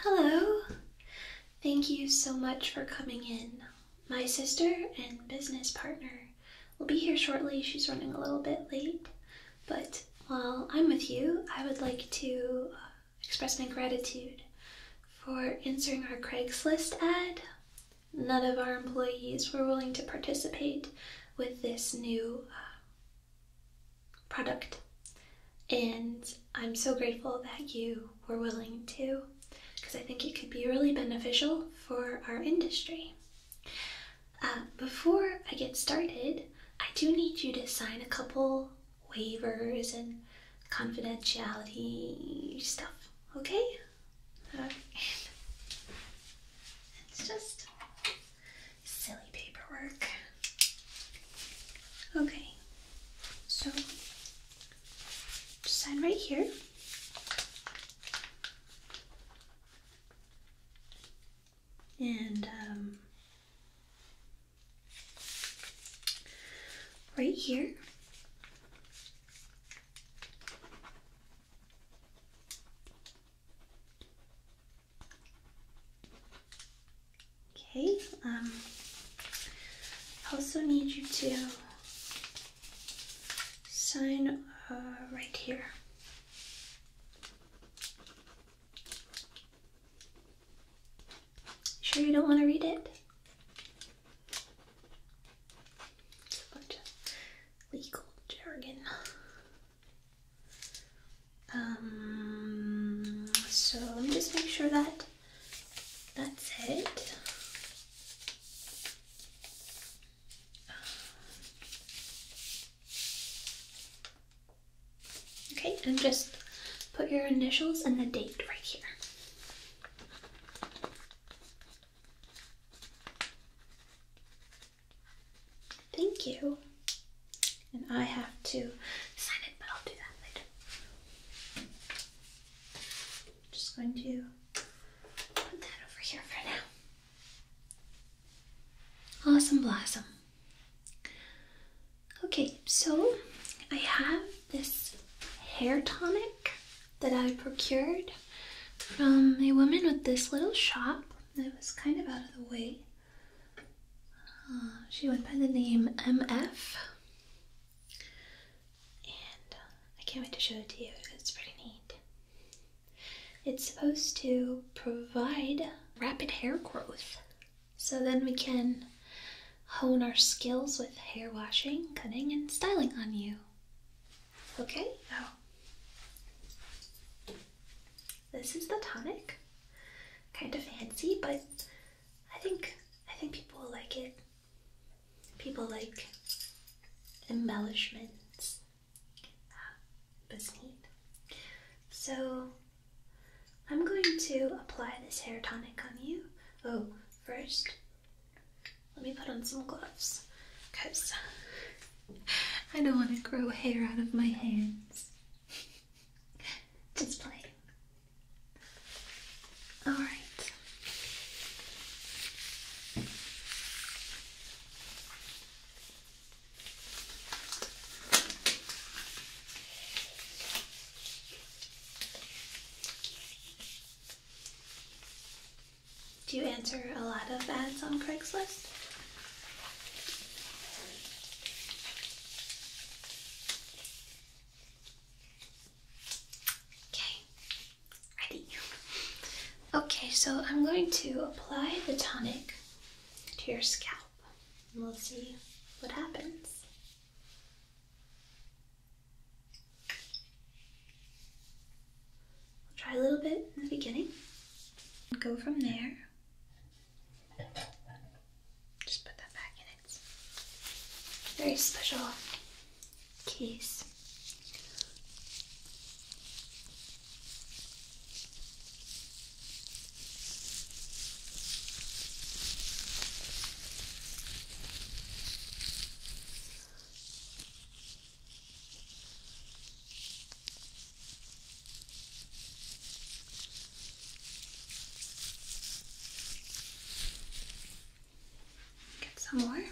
Hello! Thank you so much for coming in. My sister and business partner will be here shortly. She's running a little bit late, but while I'm with you, I would like to uh, express my gratitude for answering our Craigslist ad. None of our employees were willing to participate with this new uh, product, and I'm so grateful that you were willing to because I think it could be really beneficial for our industry. Uh, before I get started, I do need you to sign a couple waivers and confidentiality stuff. Okay? It's just silly paperwork. Okay, so sign right here. And um, right here. Okay, um, also need you to sign uh, right here. Sure you don't want to read it? It's a bunch of legal jargon. Um, so let me just make sure that that's it. Okay, and just put your initials and the date right here. Thank you. And I have to sign it, but I'll do that later. I'm just going to put that over here for now. Awesome Blossom. Okay, so I have this hair tonic that I procured from a woman with this little shop that was kind of out of the way. Uh, she went by the name MF. And uh, I can't wait to show it to you. It's pretty neat. It's supposed to provide rapid hair growth. So then we can hone our skills with hair washing, cutting, and styling on you. Okay? Oh. This is the tonic. Kind of fancy, but I think I think people like it. People like embellishments. but ah, it's neat. So I'm going to apply this hair tonic on you. Oh, first, let me put on some gloves because I don't want to grow hair out of my hands. Just play. Alright. Do you answer a lot of ads on Craigslist? Okay, ready. Okay, so I'm going to apply the tonic to your scalp and we'll see what happens. We'll try a little bit in the beginning go from there. Just put that back in its very special case. Get some more.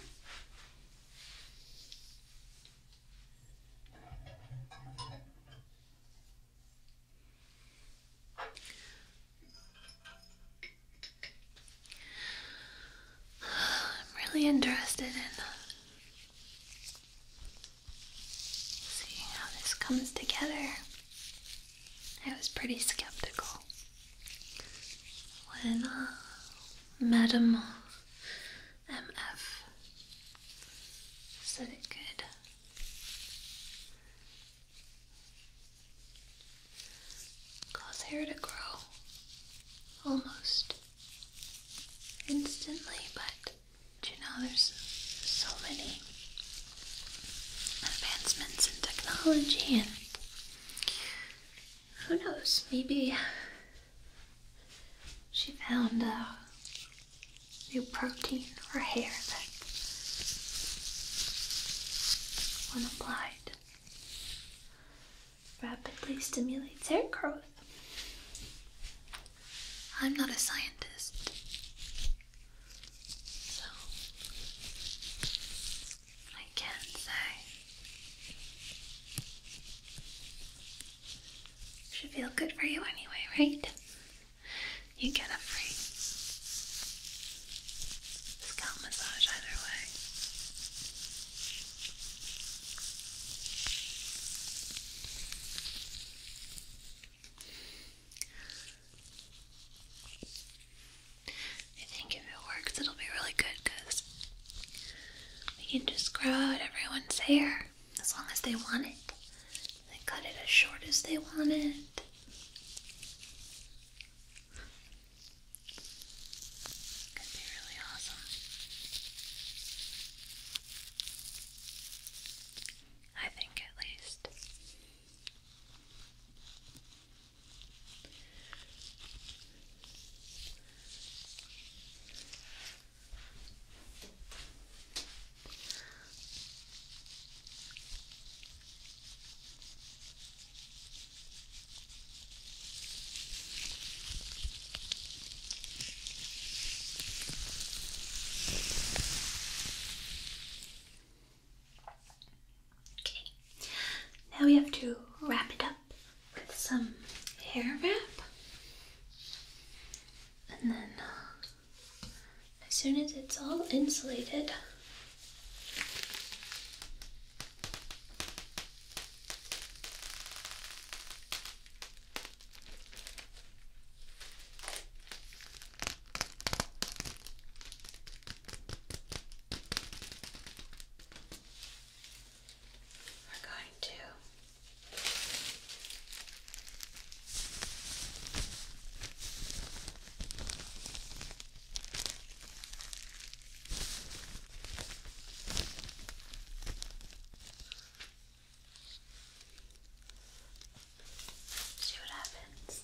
I'm really interested in uh, seeing how this comes together. I was pretty skeptical when uh, Madam MF said it could Cause hair to grow almost instantly, but you know, there's so many advancements in technology, and who knows, maybe she found a new protein for hair when applied, rapidly stimulates hair growth. I'm not a scientist, so I can't say. Should feel good for you anyway, right? you get a free scalp massage either way. I think if it works, it'll be really good because we can just grow out everyone's hair as long as they want it. They cut it as short as they want it. Could be really awesome. I think, at least. Okay, now we have to wrap it up with some hair wrap, and then uh, as soon as it's all insulated, we're going to See what happens.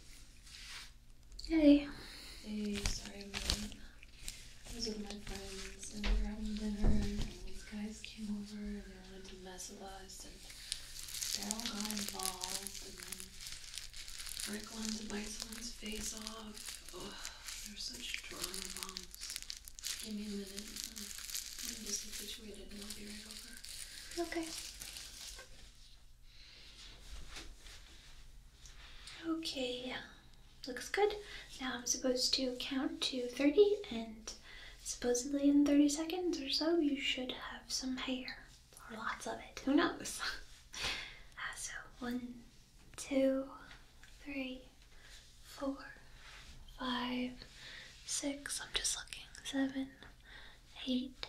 Hey. Hey, sorry i was with my friends and we were having dinner and these guys came over and they wanted to mess with us and they all got involved and then one wanted to bite face off. Ugh, they're such drama bombs. Give me a minute. I'm going get situated and I'll be right over. Okay. Okay, looks good. Now I'm supposed to count to 30 and supposedly in 30 seconds or so you should have some hair or lots of it. Who knows? Ah, so one, two, three, four, five, six. I'm just looking. Seven, eight,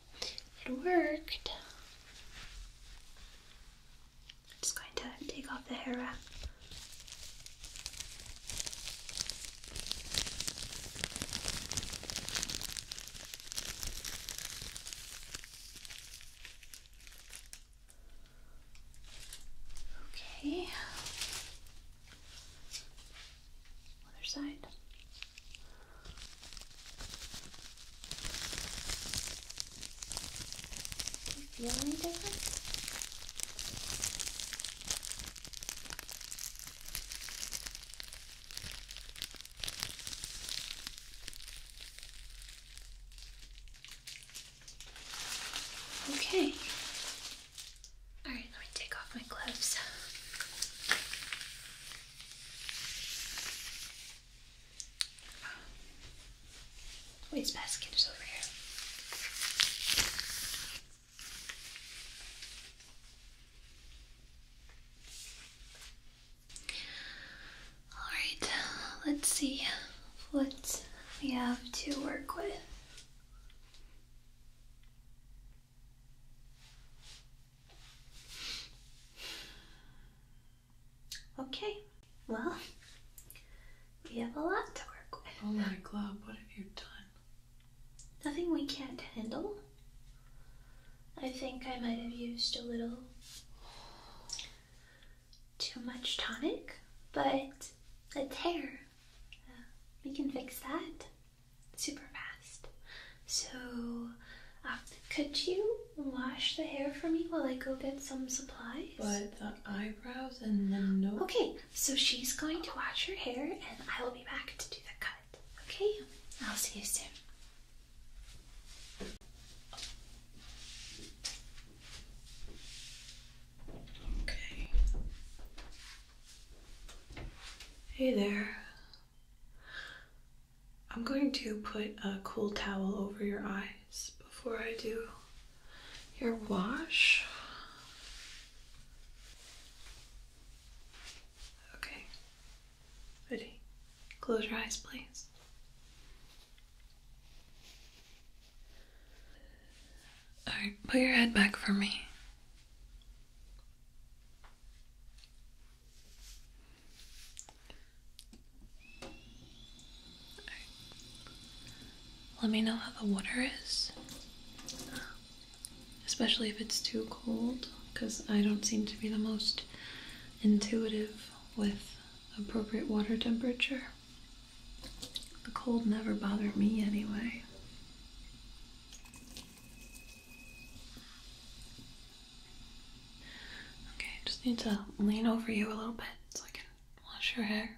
It worked. I'm just going to take off the hair wrap. Okay. Other side. Do you feel any different? Okay. Alright, let me take off my gloves. Oh, basket is over here. Alright, let's see what we have to work with. Okay, well, we have a lot to work with. Oh my God! what have you done? Nothing we can't handle. I think I might have used a little too much tonic, but a tear. Uh, we can fix that super fast. So, um, could you wash the hair for me while I go get some supplies? But the eyebrows and the nose. Okay, so she's going to wash her hair and I will be back to do the cut. Okay? I'll see you soon. Okay. Hey there. I'm going to put a cool towel over your eyes before I do your wash. Okay. Ready? Close your eyes, please. Alright, put your head back for me. Let me know how the water is, especially if it's too cold, because I don't seem to be the most intuitive with appropriate water temperature. The cold never bothered me anyway. Okay, I just need to lean over you a little bit so I can wash your hair.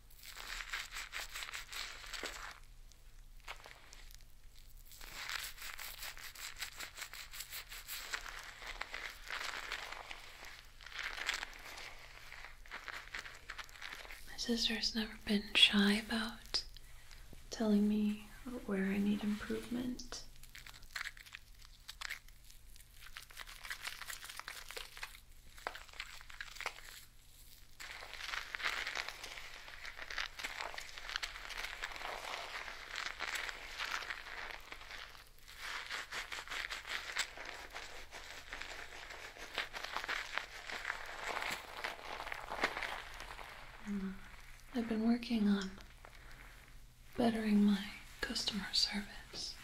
My sister has never been shy about telling me where I need improvement. Hmm. I've been working on bettering my customer service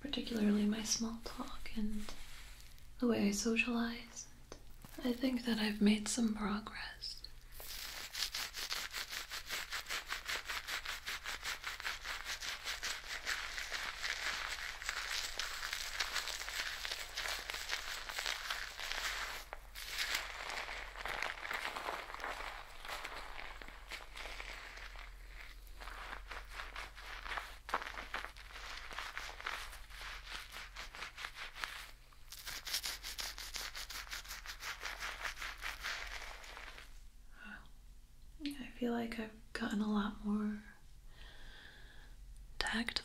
particularly my small talk and the way I socialize. I think that I've made some progress. I feel like I've gotten a lot more tactful.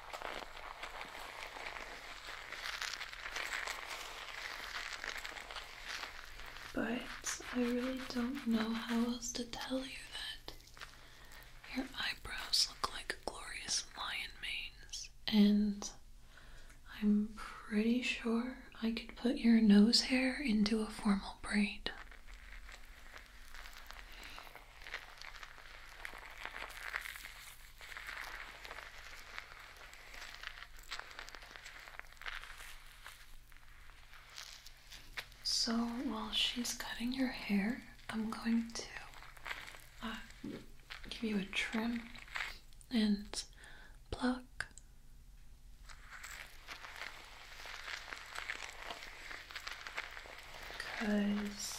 But I really don't know how else to tell you that. Your eyebrows look like glorious lion manes, and I'm pretty sure I could put your nose hair into a formal braid. So while she's cutting your hair, I'm going to uh, give you a trim and pluck. Because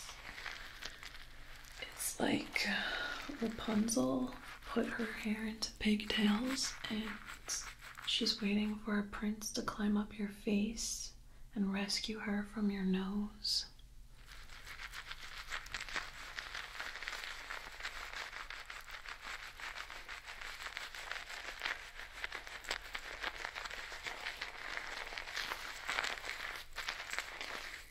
it's like Rapunzel put her hair into pigtails and she's waiting for a prince to climb up your face and rescue her from your nose.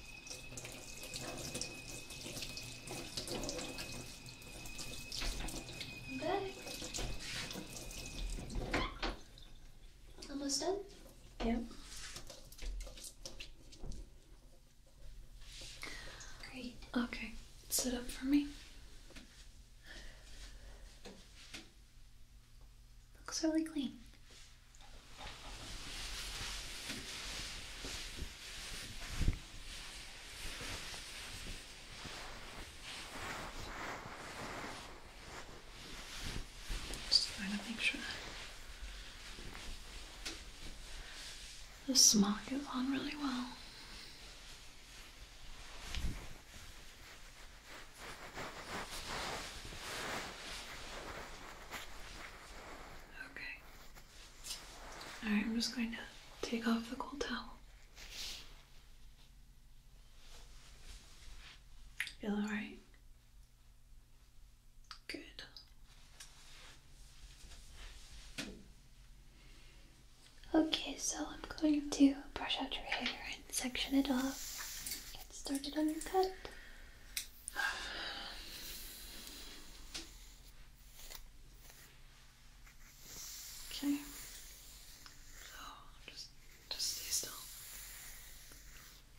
i Almost done? Yep. Great. Okay, sit up for me. Looks really clean. Just trying to make sure the smock is on really well. Okay. Alright, I'm just going to take off the cold towel. Feel alright? Good. Okay, so I'm going to brush out your hair and section it off. Get started on your cut. Okay. So just just stay still.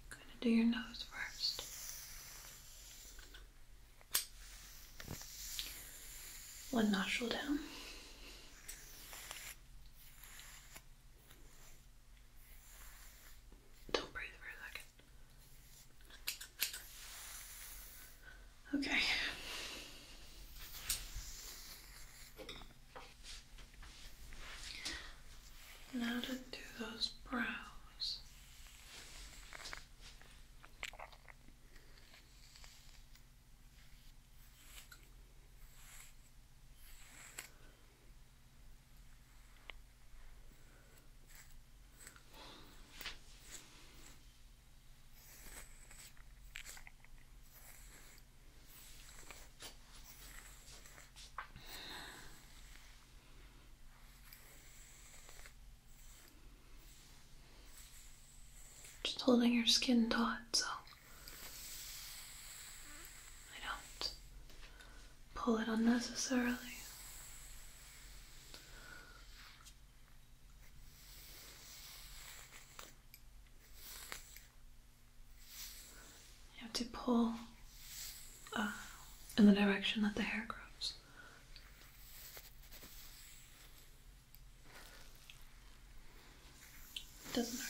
gonna do your nose first. One nostril down. Don't breathe for a second. Okay. Now to do those brows. Just holding your skin taut so I don't pull it unnecessarily. You have to pull uh, in the direction that the hair grows. It doesn't hurt.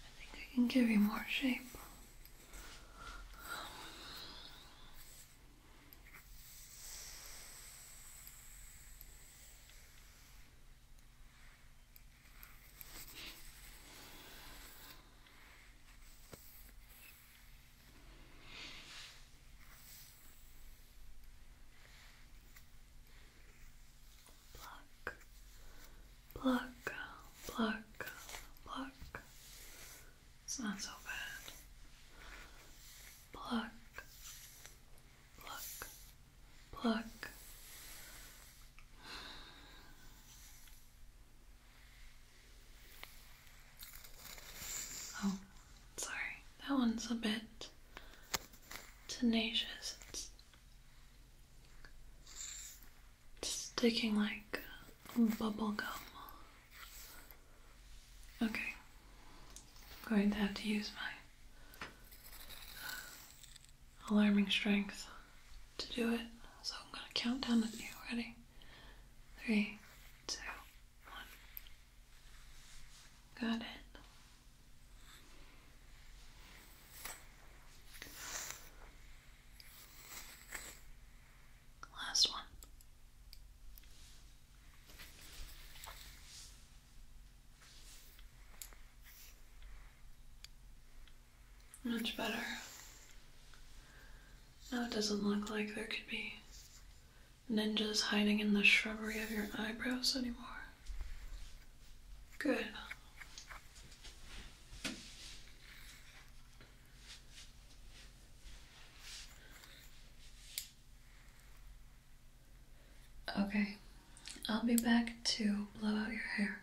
I think I can give you more shape. Pluck, pluck, pluck, pluck. It's not so bad. Pluck, pluck, pluck. Oh, Sorry, that one's a bit tenacious. It's sticking like bubble gum. Okay, I'm going to have to use my alarming strength to do it. So I'm going to count down with you. Ready? Three, two, one. Got it. Last one. Much better. Now it doesn't look like there could be ninjas hiding in the shrubbery of your eyebrows anymore. Good. Okay, I'll be back to blow out your hair.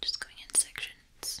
Just going in sections.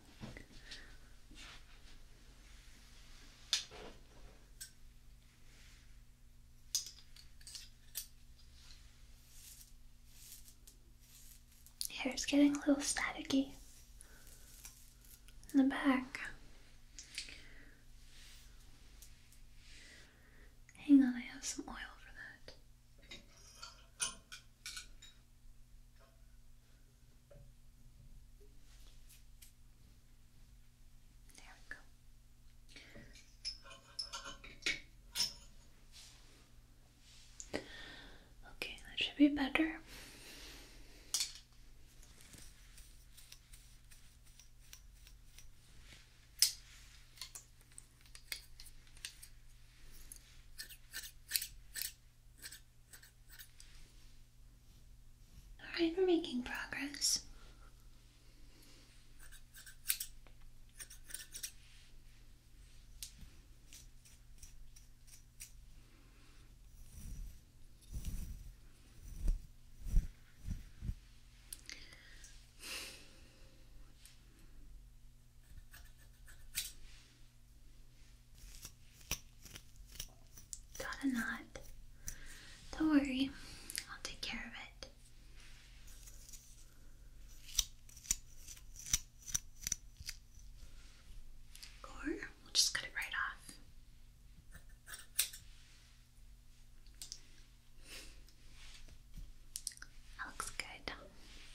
Hair's getting a little staticky in the back. Hang on, I have some oil for that. There we go. Okay, that should be better. Alright, we're making progress. Got a knot. Don't worry, I'll take care of it. Or we'll just cut it right off. That looks good.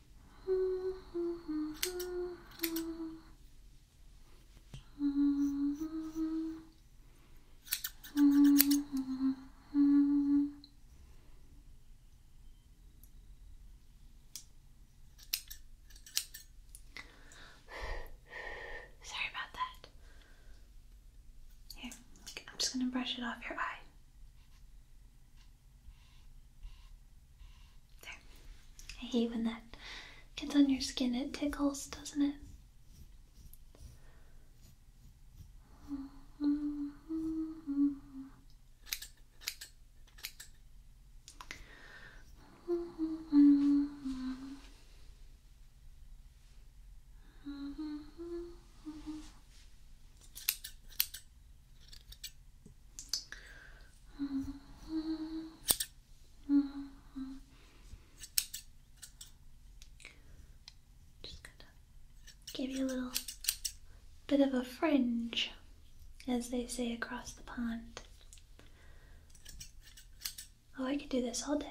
Sorry about that. Here, I'm just going to brush it off your eye. I hate when that gets on your skin, it tickles, doesn't it? Just gonna give you a little bit of a fringe, as they say across the pond. Oh, I could do this all day.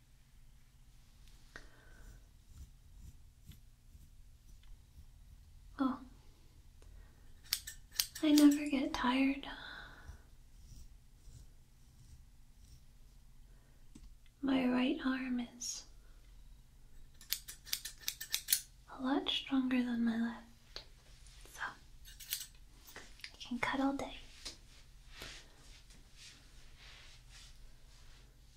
Well, I never get tired. My right arm is a lot stronger than my left, so I can cut all day.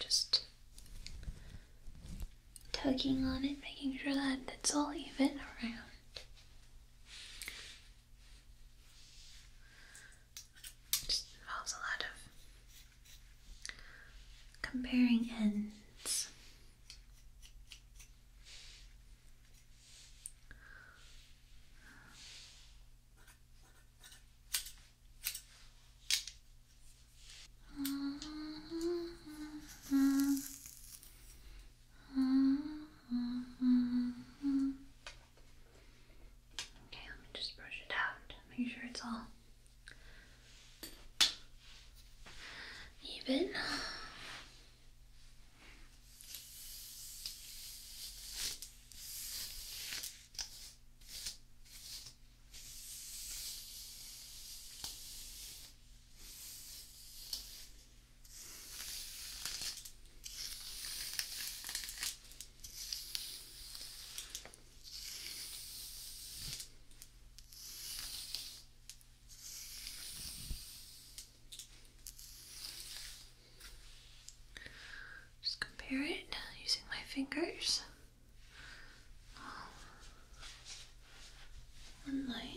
Just tugging on it, making sure that it's all even around. Just involves a lot of comparing ends. Okay, let me just brush it out. Make sure it's all even. Just compare it using my fingers. One leg.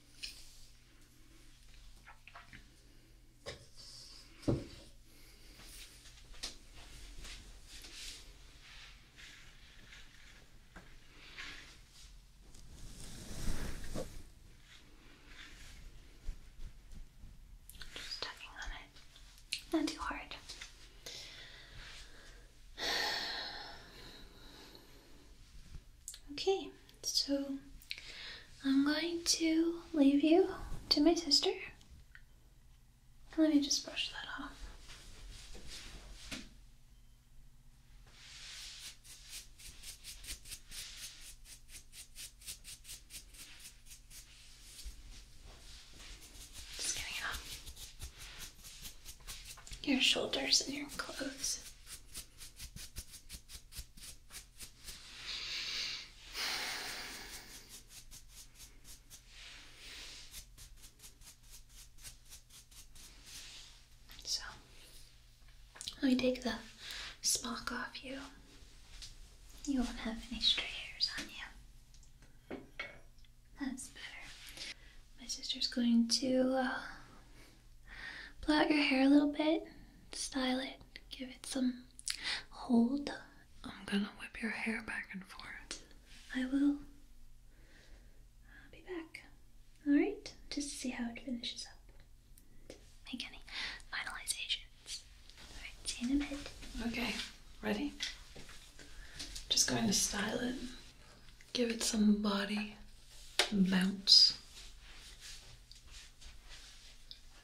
Just tugging on it, not too hard. Okay, so I'm going to leave you to my sister. Let me just brush that off. Just getting off your shoulders and your clothes. So let me take the smock off you. You won't have any stray hairs on you. That's better. My sister's going to uh, Blow out your hair a little bit, style it, give it some hold. I'm gonna whip your hair back and forth. I will I'll be back. Alright, just to see how it finishes up. Make any finalizations. Alright, see in a bit. Okay, ready? Just going to style it. Give it some body, bounce,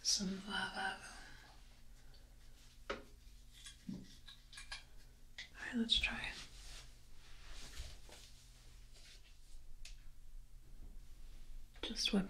some va Alright, let's try Just whip it.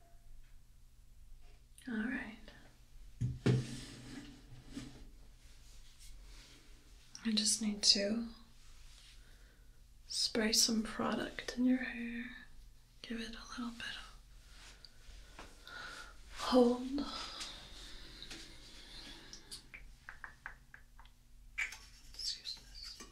All right. I just need to spray some product in your hair, give it a little bit of hold.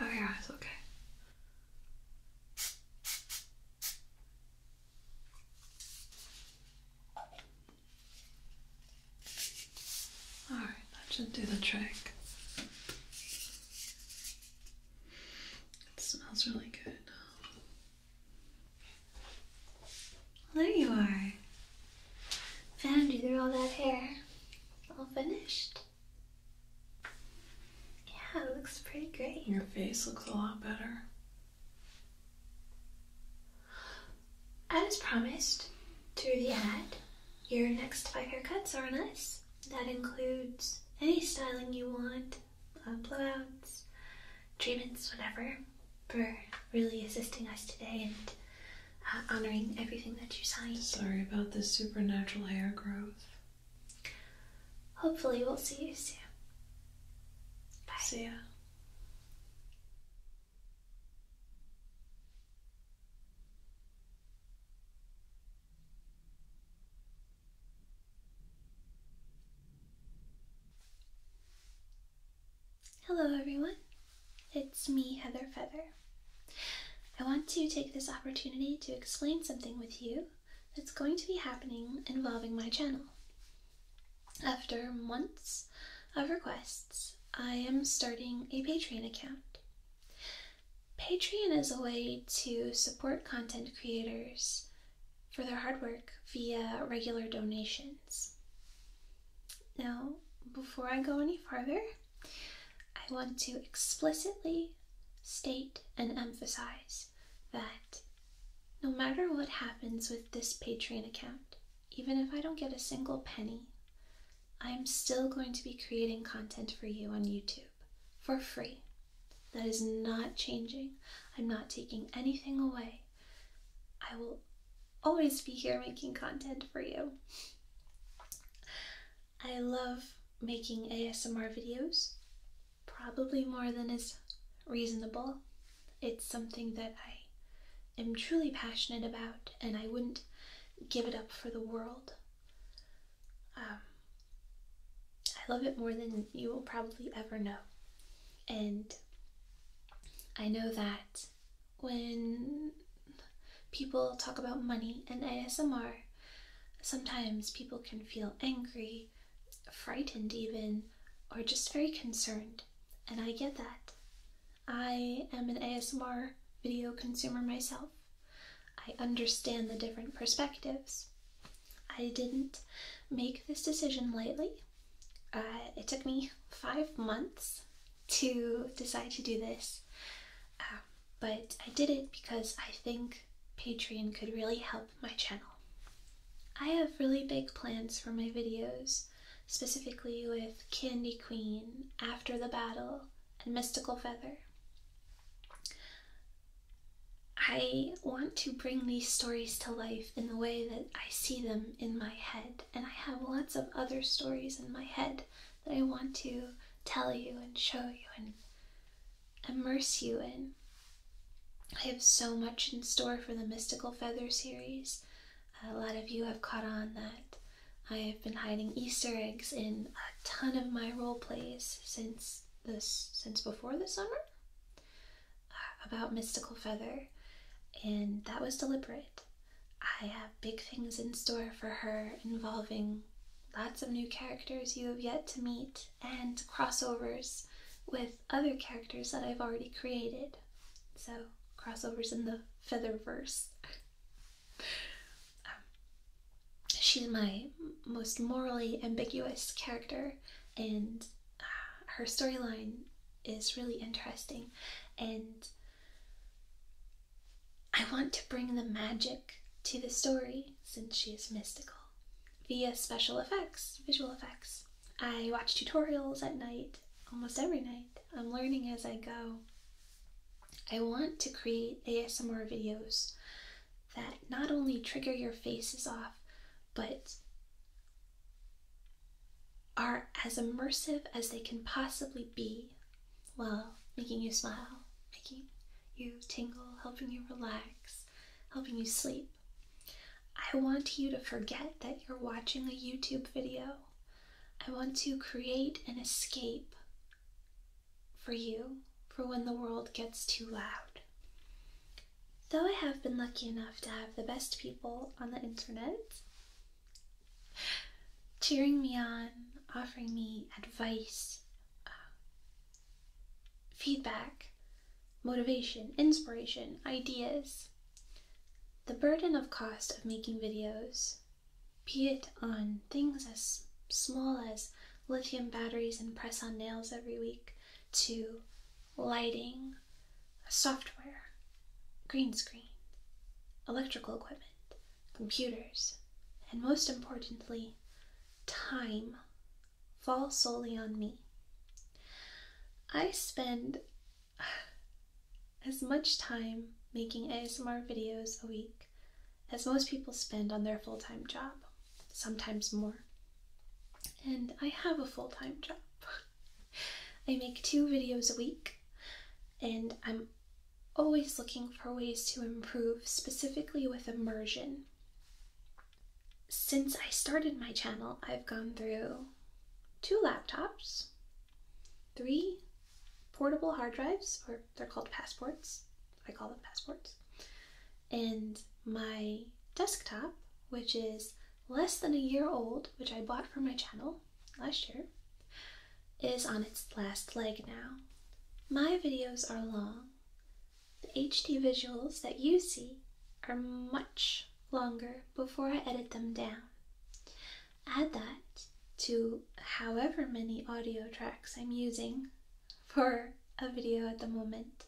Oh yeah, it's okay. All right, that should do the trick. It smells really good there you are. Found you through all that hair. All finished. Yeah, it looks pretty great. Your face looks a lot better. As promised, through the ad, your next five haircuts are on us. That includes any styling you want, uh, blowouts, treatments, whatever, for really assisting us today and honoring everything that you signed. Sorry about the supernatural hair growth. Hopefully, we'll see you soon. Bye. See ya. Hello, everyone. It's me, Heather Feather. I want to take this opportunity to explain something with you that's going to be happening involving my channel. After months of requests, I am starting a Patreon account. Patreon is a way to support content creators for their hard work via regular donations. Now, before I go any further, I want to explicitly state and emphasize that no matter what happens with this Patreon account, even if I don't get a single penny, I'm still going to be creating content for you on YouTube for free. That is not changing. I'm not taking anything away. I will always be here making content for you. I love making ASMR videos, probably more than is reasonable. It's something that I am truly passionate about, and I wouldn't give it up for the world. Um, I love it more than you will probably ever know. And I know that when people talk about money and ASMR, sometimes people can feel angry, frightened, even, or just very concerned. And I get that. I am an ASMR video consumer myself. I understand the different perspectives. I didn't make this decision lightly. Uh, it took me five months to decide to do this, um, but I did it because I think Patreon could really help my channel. I have really big plans for my videos, specifically with Candy Queen, After the Battle, and Mystical Feather. I want to bring these stories to life in the way that I see them in my head and I have lots of other stories in my head that I want to tell you and show you and immerse you in. I have so much in store for the Mystical Feather series. A lot of you have caught on that I have been hiding Easter eggs in a ton of my role plays since this since before this summer uh, about Mystical Feather, and that was deliberate. I have big things in store for her involving lots of new characters you have yet to meet and crossovers with other characters that I've already created. So, crossovers in the Featherverse. Um, she's my most morally ambiguous character, and uh, her storyline is really interesting. And I want to bring the magic to the story since she is mystical via special effects, visual effects. I watch tutorials at night, almost every night. I'm learning as I go. I want to create ASMR videos that not only trigger your faces off, but are as immersive as they can possibly be while making you smile, making you tingle, helping you relax, helping you sleep. I want you to forget that you're watching a YouTube video. I want to create an escape for you for when the world gets too loud. Though I have been lucky enough to have the best people on the internet, cheering me on, offering me advice, uh, feedback, motivation, inspiration, ideas. The burden of cost of making videos, be it on things as small as lithium batteries and press on nails every week, to lighting, software, green screen, electrical equipment, computers, and most importantly, time fall solely on me. I spend as much time making ASMR videos a week as most people spend on their full time job, sometimes more. And I have a full time job. I make two videos a week, and I'm always looking for ways to improve, specifically with immersion. Since I started my channel, I've gone through two laptops, three portable hard drives, or they're called passports. I call them passports. And my desktop, which is less than a year old, which I bought for my channel, last year, is on its last leg now. My videos are long. The HD visuals that you see are much longer before I edit them down. Add that to however many audio tracks I'm using for a video at the moment,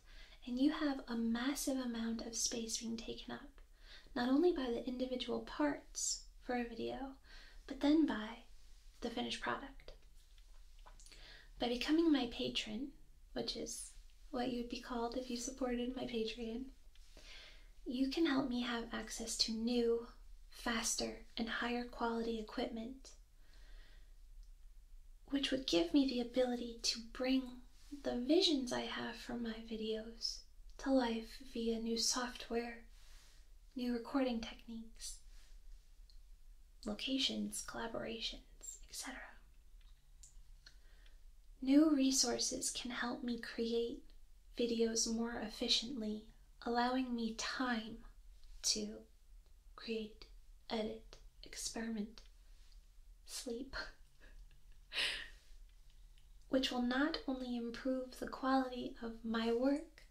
and you have a massive amount of space being taken up, not only by the individual parts for a video, but then buy the finished product. By becoming my patron, which is what you would be called if you supported my Patreon, you can help me have access to new, faster, and higher quality equipment, which would give me the ability to bring the visions I have from my videos to life via new software new recording techniques, locations, collaborations, etc. New resources can help me create videos more efficiently, allowing me time to create, edit, experiment, sleep which will not only improve the quality of my work,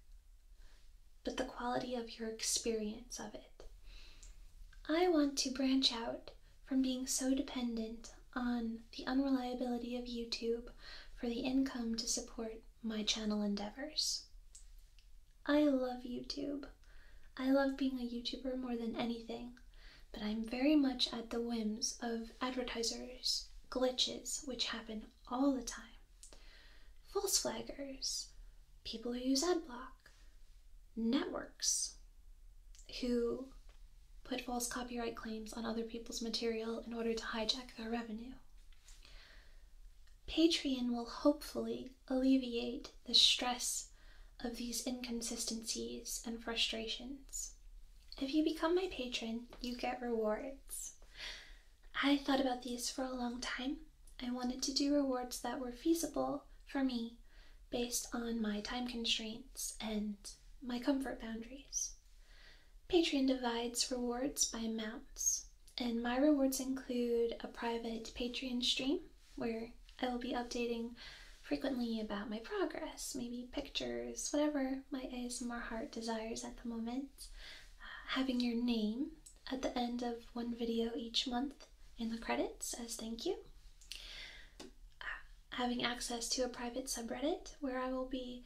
but the quality of your experience of it. I want to branch out from being so dependent on the unreliability of YouTube for the income to support my channel endeavors. I love YouTube. I love being a YouTuber more than anything, but I'm very much at the whims of advertisers, glitches, which happen all the time. False flaggers, people who use ad block, networks who put false copyright claims on other people's material in order to hijack their revenue. Patreon will hopefully alleviate the stress of these inconsistencies and frustrations if you become my patron, you get rewards. I thought about these for a long time. I wanted to do rewards that were feasible for me based on my time constraints and my comfort boundaries. Patreon divides rewards by amounts, and my rewards include a private Patreon stream where I will be updating frequently about my progress, maybe pictures, whatever my ASMR heart desires at the moment. Uh, having your name at the end of one video each month in the credits as thank you. Uh, having access to a private subreddit where I will be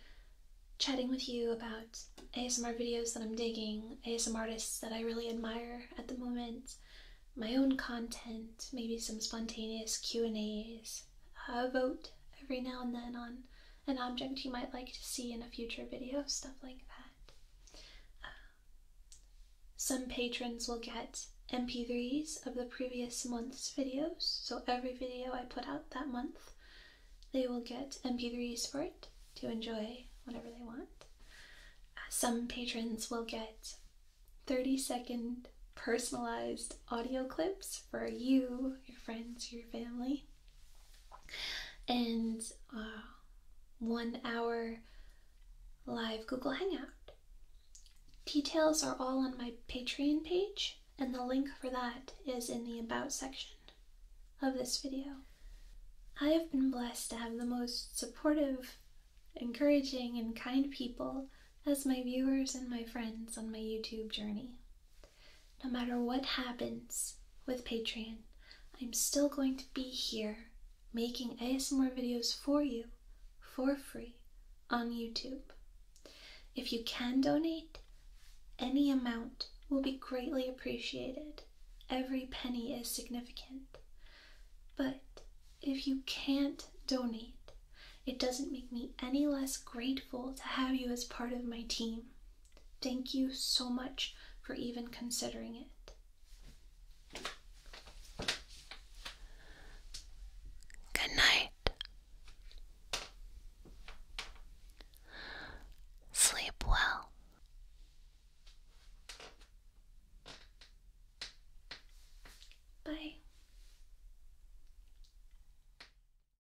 chatting with you about ASMR videos that I'm digging, ASMR artists that I really admire at the moment, my own content, maybe some spontaneous Q&As, vote every now and then on an object you might like to see in a future video, stuff like that. Uh, some patrons will get mp3s of the previous month's videos, so every video I put out that month, they will get mp3s for it to enjoy whatever they want. Uh, some patrons will get 30 second personalized audio clips for you, your friends, your family and uh, one hour live Google Hangout. Details are all on my Patreon page, and the link for that is in the About section of this video. I have been blessed to have the most supportive, encouraging, and kind people as my viewers and my friends on my YouTube journey. No matter what happens with Patreon, I'm still going to be here making ASMR videos for you for free on YouTube. If you can donate, any amount will be greatly appreciated. Every penny is significant. But if you can't donate, it doesn't make me any less grateful to have you as part of my team. Thank you so much for even considering it. Good night. Sleep well. Bye.